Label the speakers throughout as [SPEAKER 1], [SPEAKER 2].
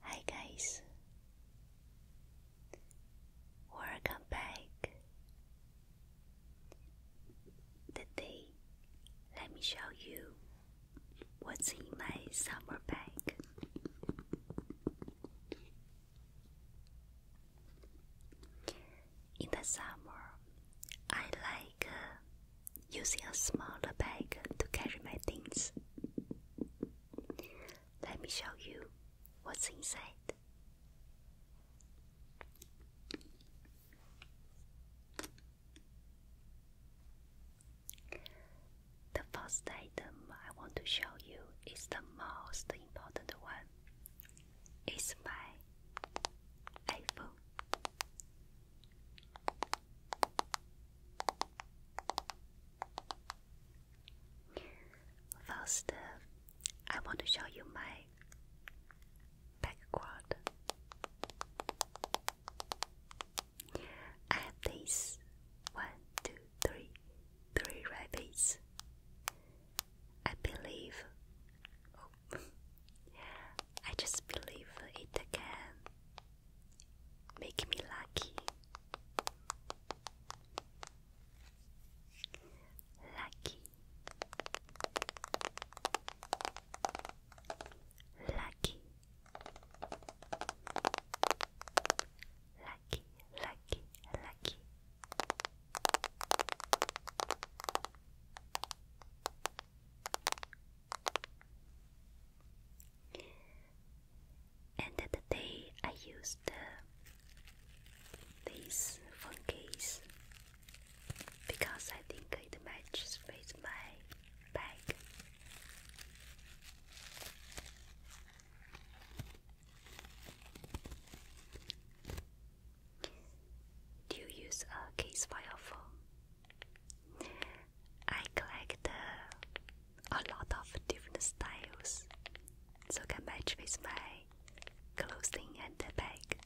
[SPEAKER 1] Hi guys, welcome back. Today, let me show you what's in my summer bag. In the summer, I like uh, using a smaller bag to carry my things. Let me show you what's inside. The first item I want to show you is the most important one. It's my iPhone. First, uh, I want to show you my background. I have these one, two, three, three rabbits. I believe. Oh, I just believe it can Make me lucky. Lucky. Lucky. Lucky, lucky, lucky. And today I used this phone case because I think it matches with my bag. Do you use a case for your I collect uh, a lot of different styles, so can match with my clothing and the bag.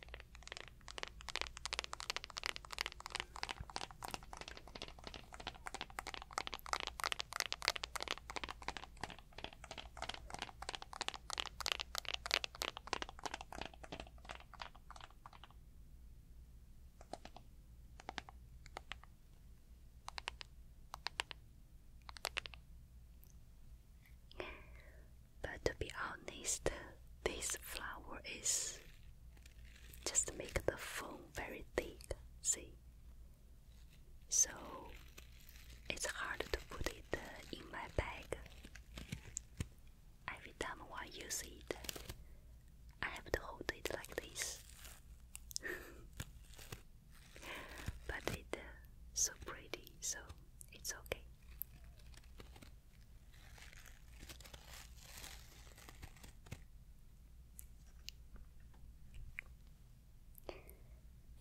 [SPEAKER 1] But to be honest, this flower is just make the foam very thick, see? So it's hard to put it uh, in my bag. Every time I use it, I have to hold it like this. but it's uh, so pretty, so it's okay.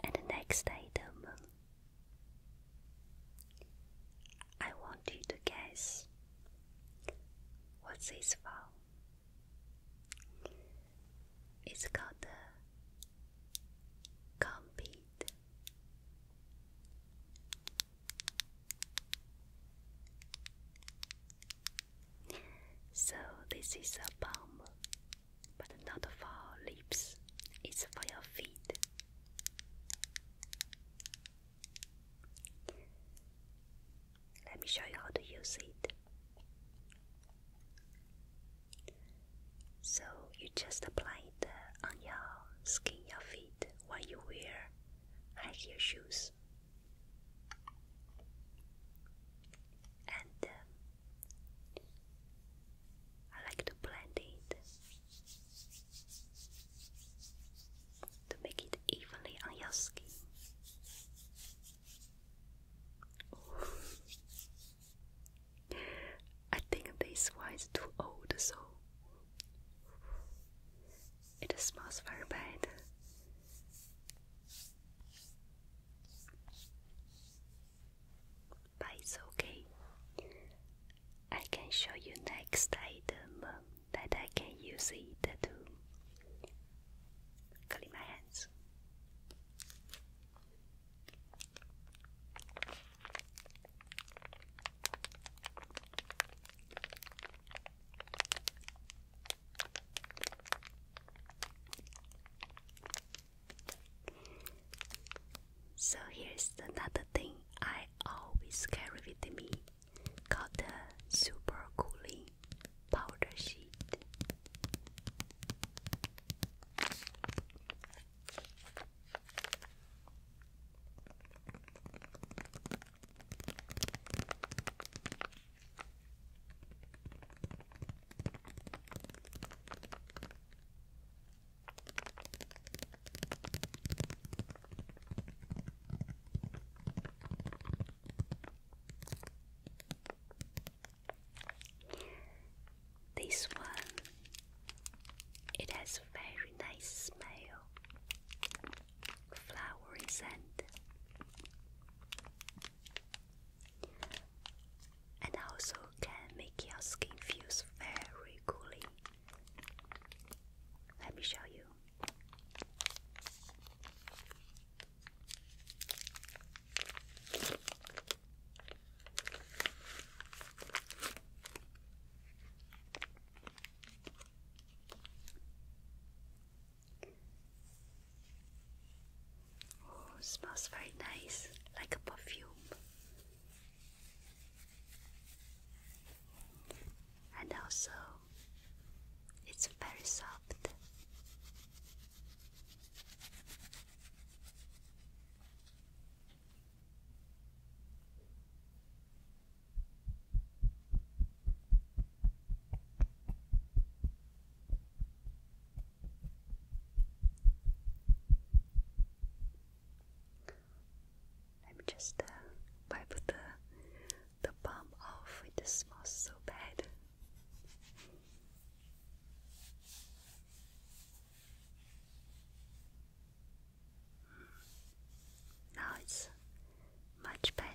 [SPEAKER 1] And the next item, I want you to guess What's this for? It's called the compete. So this is a bomb, but not for lips. It's for your feet. Let me show you how to use it. So you just apply it uh, on your skin, your feet, while you wear high heel shoes. And um, I like to blend it to make it evenly on your skin. I think this one is too old, so it smells very bad. But it's okay. I can show you next item that I can use it to clean my hands. So here's another thing I always carry with me called the super cooling powder sheet. This one, it has very nice smell, flowery scent, and also can make your skin feels very cooling. Let me show you. Oh, smells very nice, like a perfume and also it's very soft. Let me just uh, wipe the the palm off. It smells so bad. Mm. Now it's much better.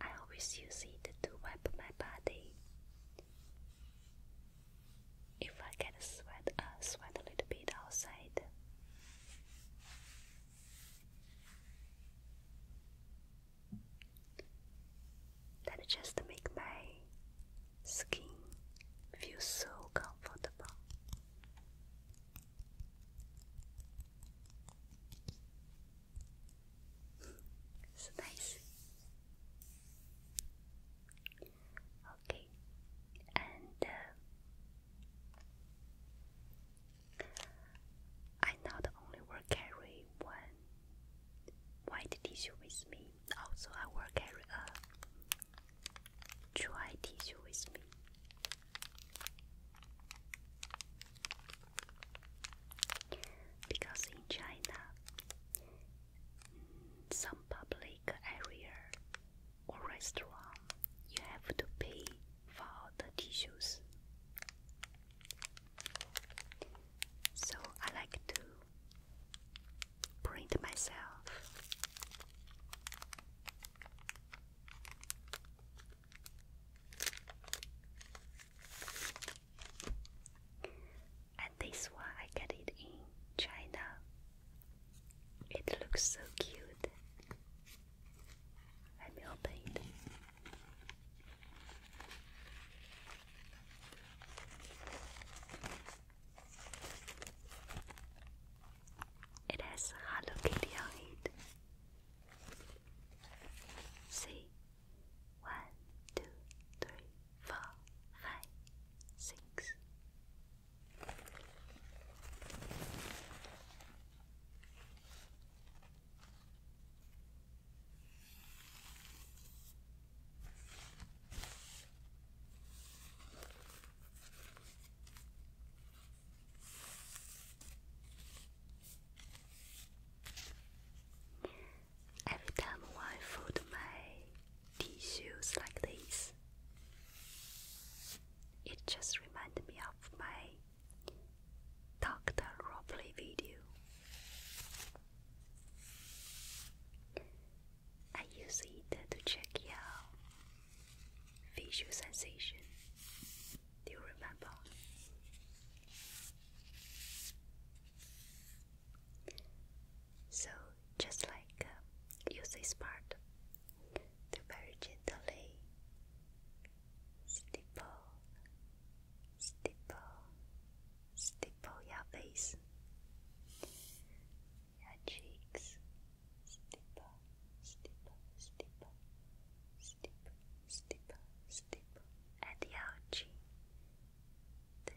[SPEAKER 1] I always use it to wipe my body. If I get sweat, sweat a little bit outside. That just make my skin feel so comfortable it's nice. Okay, and uh, I not only will carry one white tissue with me, also I will carry a Try tissue with me. Because in China, mm, some public area or restaurant, you have to pay for the tissues. So I like to print myself. And this one I get it in China. It looks so cute. Let me open it. It has Hello Kitty on it. See? One, two, three, four, five, six. Every time I fold my tissues like this, it just reminded me of my Dr. Ropley video. I use it to check your visual sensation. Do you remember? So just like uh, use this part to very gently stipple, stipple, stipple your face your cheeks steeper, steeper, steeper, steeper, steeper, steeper, and your chin. Th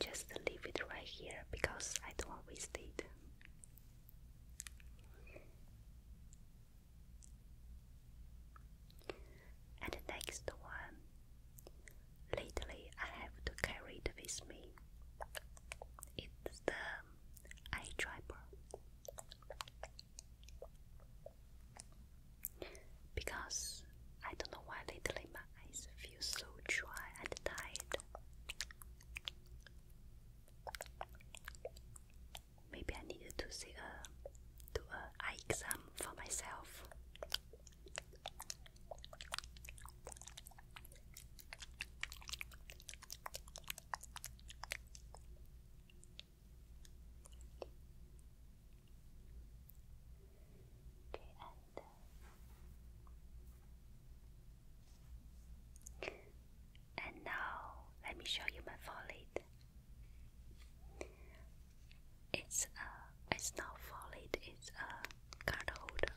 [SPEAKER 1] just leave it right here because I don't want to waste it. And next one, lately I have to carry it with me. It's the eye driver because I don't know why lately my eyes feel so dry and tired. Maybe I needed to see a do a eye exam for myself. Okay, and uh, and now let me show you my folate. It's a uh, it's not folate. It's a uh, card holder.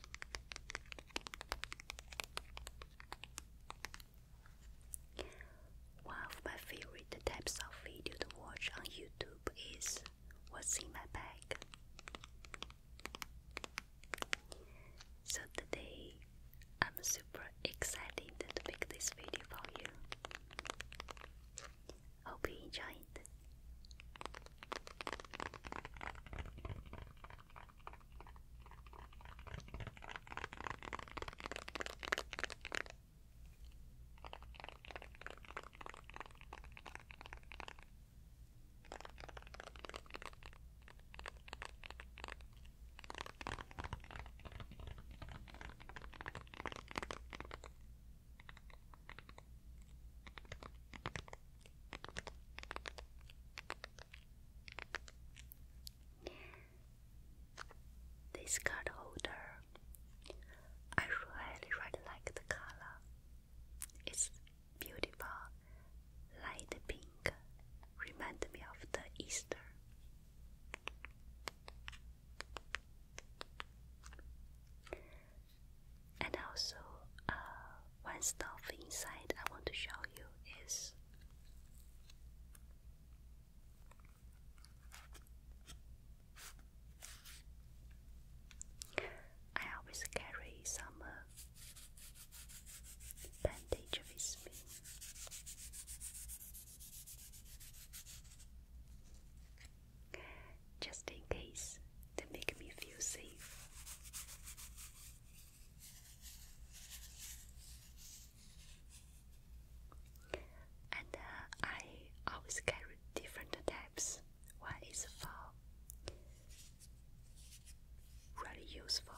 [SPEAKER 1] One of my favorite types of video to watch on YouTube is what's in my bag. So today I'm super excited to make this video for you. Hope you enjoy it. This card holder, I really really like the color. It's beautiful, light pink. Remind me of the Easter. And also, uh, one stuff inside I want to show you is I always carry some uh, with me. Just in case to make me feel safe. And uh, I always carry different types one is for really useful,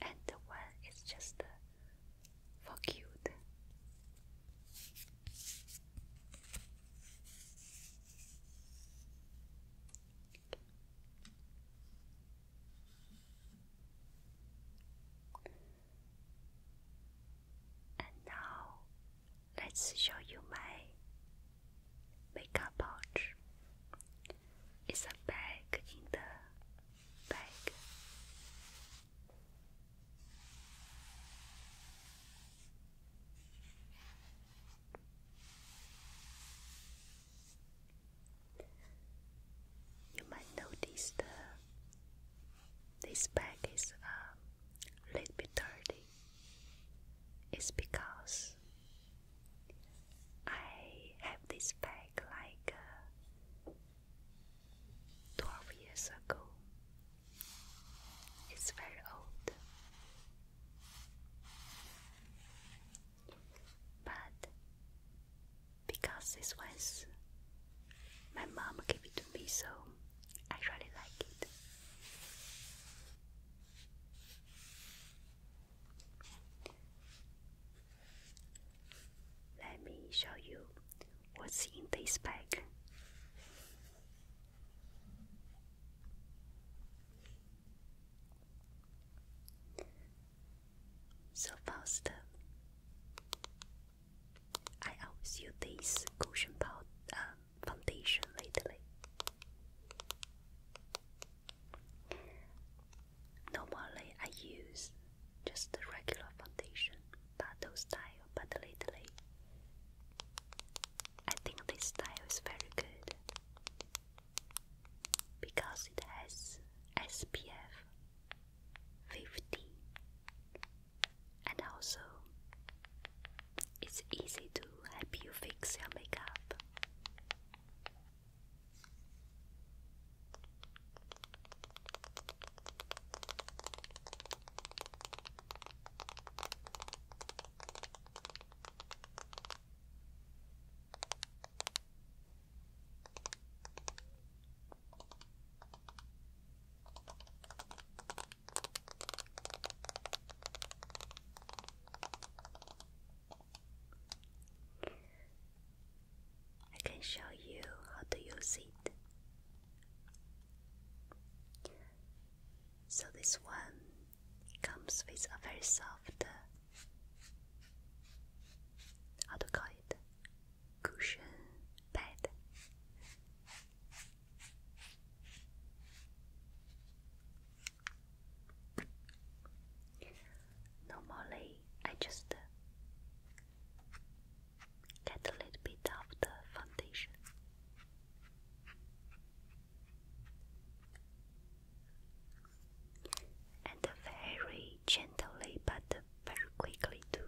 [SPEAKER 1] and one is just for cute. And now let's show you my makeup pouch. It's a bag in the bag. You might notice the this bag is um, a little bit dirty. It's because I have this bag like uh, 12 years ago. It's very old. But because this was my mom gave it to me, so I really like it. Let me show you what's in this bag. So first, I always this cushion powder, um, foundation lately. Normally, I use just a regular foundation, battle style, but lately, I think this style is very good because it has SPF 50 and also it's easy to help you fix your makeup. I can show you how to use it. So this one comes with a very soft, how to call it, cushion bed. Normally, I just uh, get a little bit of the foundation. And very gently, but very quickly, too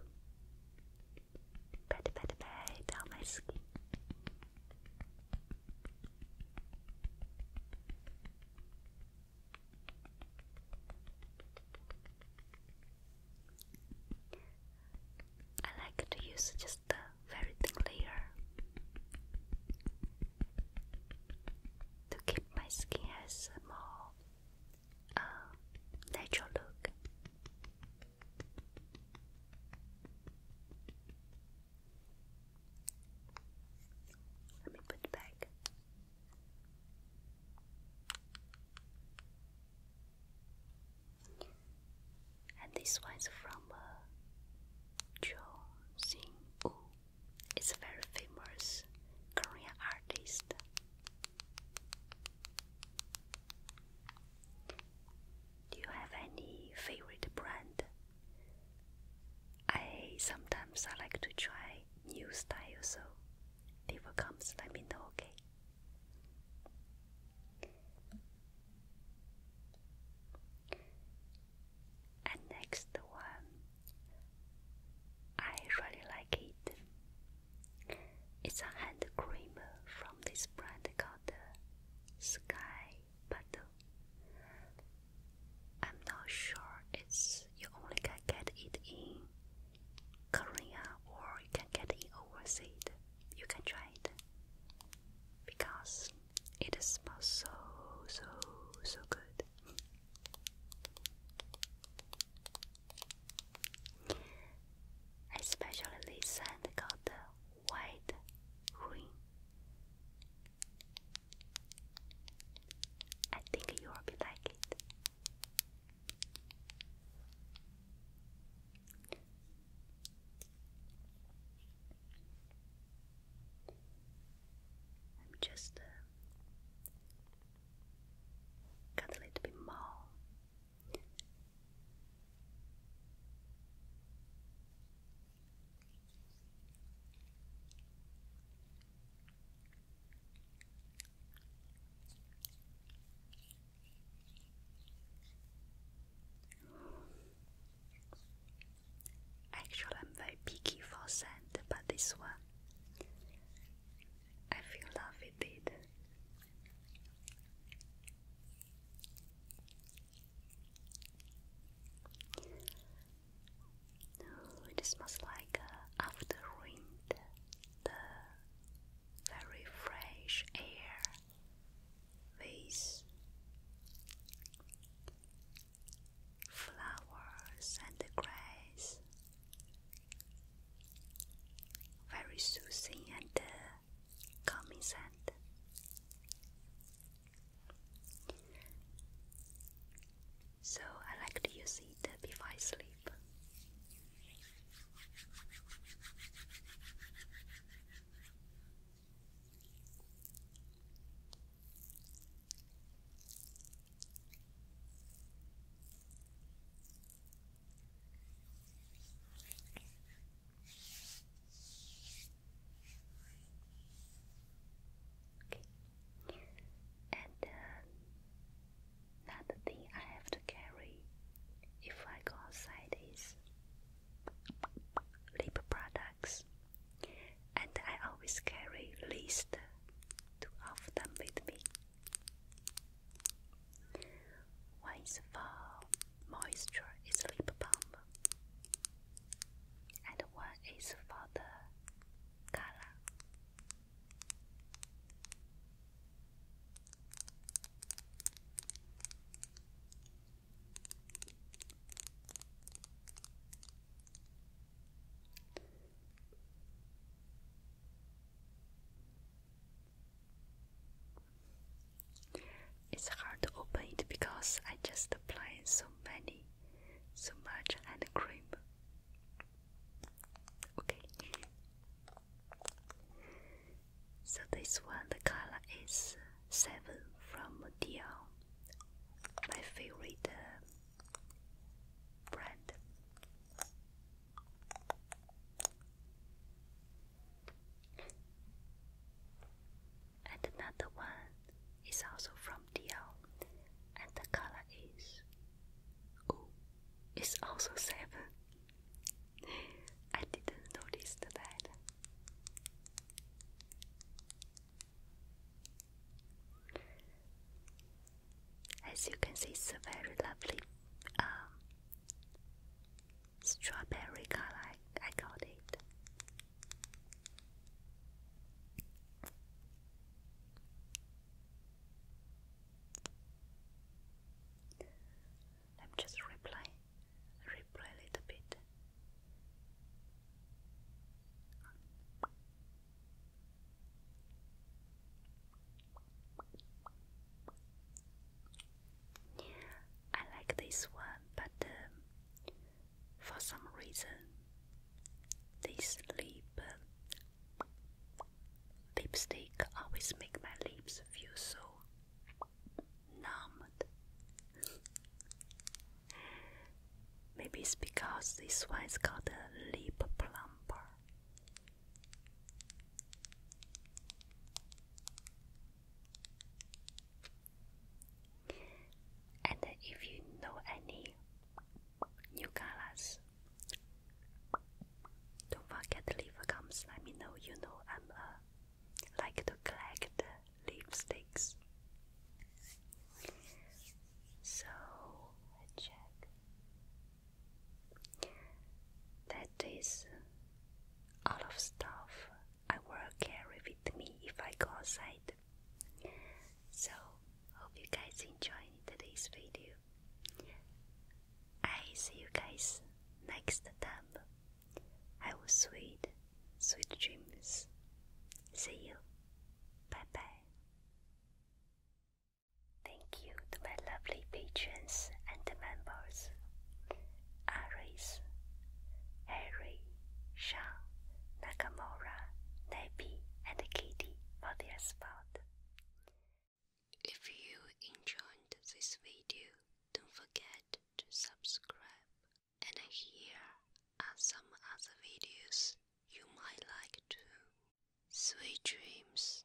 [SPEAKER 1] pat pat pat down my skin. I like to use just the very thin layer to keep my skin as a more uh, natural look. Let me put it back. And this one's from uh, Cho Woo. It's a very famous Korean artist. Do you have any favorite brand? I sometimes I like to try new styles. so if it comes, let me know, okay? And next one, I really like it. It's a hand cream from this brand called Sky Bottle. I'm not sure it's you only can get it in Korea or you can get it overseas. You can try it because it smells so so so good. I especially this called the white green. I think you will be like it. I'm just uh, a little bit more Actually, I'm very picky for scent, but this one I feel love with it it smells like uh, after rain, the very fresh air with flowers and grass. Very soothing and uh, gummy scent. So I like to use it before I sleep. Okay. And uh, another thing I have to carry if I go outside is lip products, and I always carry least two of them with me. Once for moisture is lip balm, and one is for the color. It's hard to open it because I just apply so many, so much hand cream. Okay. So this one, the color is seven from Dior, my favorite uh, brand. And another one is also from DL, and the color is. Oh, it's also seven. I didn't notice that. As you can see, it's a very lovely um, Strawberry garlic. I got it. Let me just replay, replay a little bit. I like this one, but um, for some reason, this lip um, lipstick always make my lips feel so numb. Maybe it's because this one is called a lip plumper. And if you know any new colors, don't forget to leave comments. Let me know. You know I'm uh, like to collect lipsticks. So I check. That is all of stuff I will carry with me if I go outside. So, hope you guys enjoy today's video. I see you guys next time. I will sweet, sweet dreams. See you. Bye bye. Thank you to my lovely patrons and members Aris, Harry, Sean, Nakamura, Nabi, and Kitty for their support. If you enjoyed this video, don't forget to subscribe. And here are some other videos you might like too. Sweet dreams.